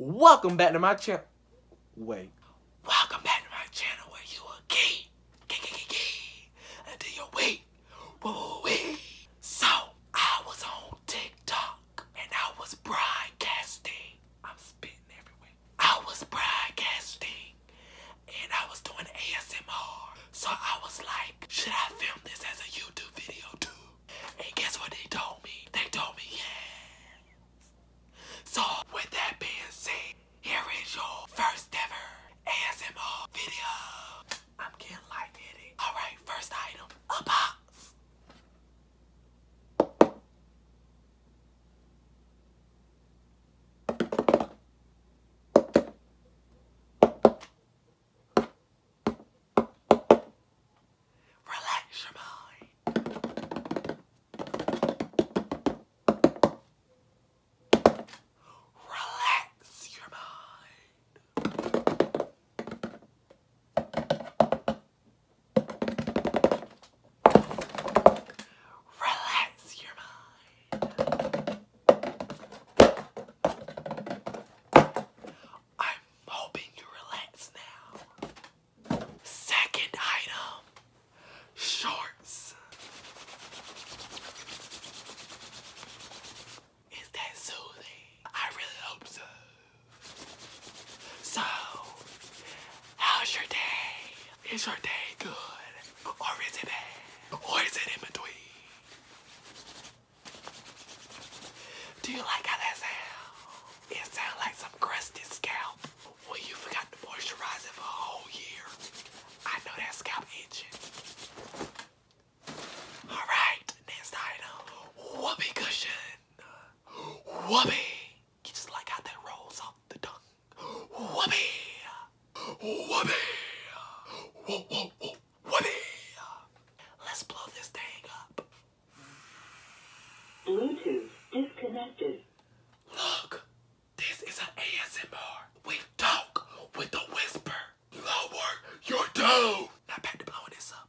Welcome back to my channel. Wait. Welcome back to my channel where you are gay. Gay, gay, gay, gay. Until you wait. Whoa, So, I was on TikTok and I was broadcasting. I'm spitting everywhere. I was broadcasting and I was doing ASMR. So I was like, should I film this as a YouTube video too? And guess what they told me? They told me yes. So with that being said, here is your first ever ASMR video. I'm getting lightheaded. Alright, first item, a box. Relax your mind. Relax your mind. Relax your mind. I'm hoping you relax now. Second item shorts. Is that soothing? I really hope so. So, how's your day? Is your day good? Or is it bad? Or is it in between? Do you like how that sounds? It sounds like some crusty scalp. Well, you forgot to moisturize it for a whole year. I know that scalp itching. Alright, next item. Whoopee cushion. Whoopee! You just like how that rolls off the tongue. Whoopee! Whoopee! Whoa, Let's blow this thing up. Bluetooth disconnected. Look, this is an ASMR. We talk with a whisper. Lower your tone. Now back to blowing this up.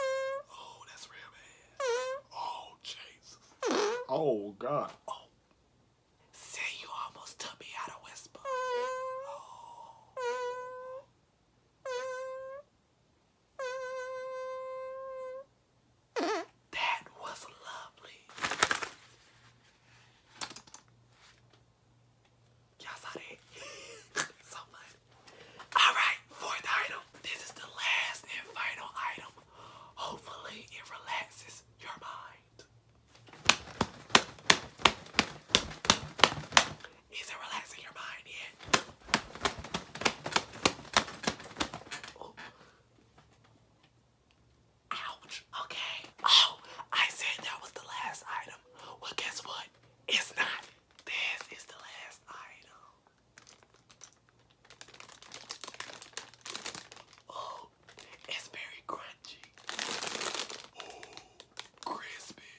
Oh, that's real bad. Oh, Jesus. Oh, God. Oh. See, you almost took me out of whisper. That was lovely. Y'all saw that? so funny. Alright, fourth item. This is the last and final item. Hopefully it relaxes your mind. Is it relaxing your mind yet? Ouch. Okay. Oh, I said that was the last item. Well, guess what? It's not. This is the last item. Oh, it's very crunchy. Oh, crispy.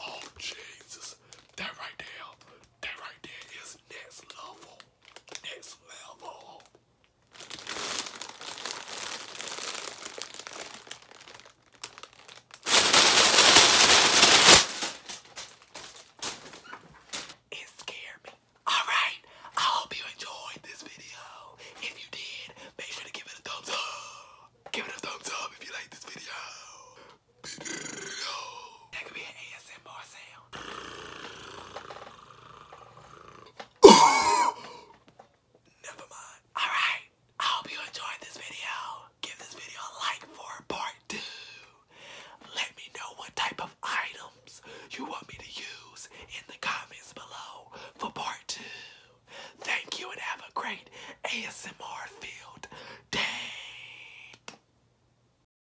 Oh, Jesus. That right there, that right there is next level. Next level. It scared me. Alright, I hope you enjoyed this video. If you did, make sure to give it a thumbs up. Give it a thumbs up if you like this video. That could be an ASMR sound sound. Never mind. Alright, I hope you enjoyed this video. Give this video a like for part two. Let me know what type of items you want me to use in the comments below for part two. Thank you and have a great ASMR field day.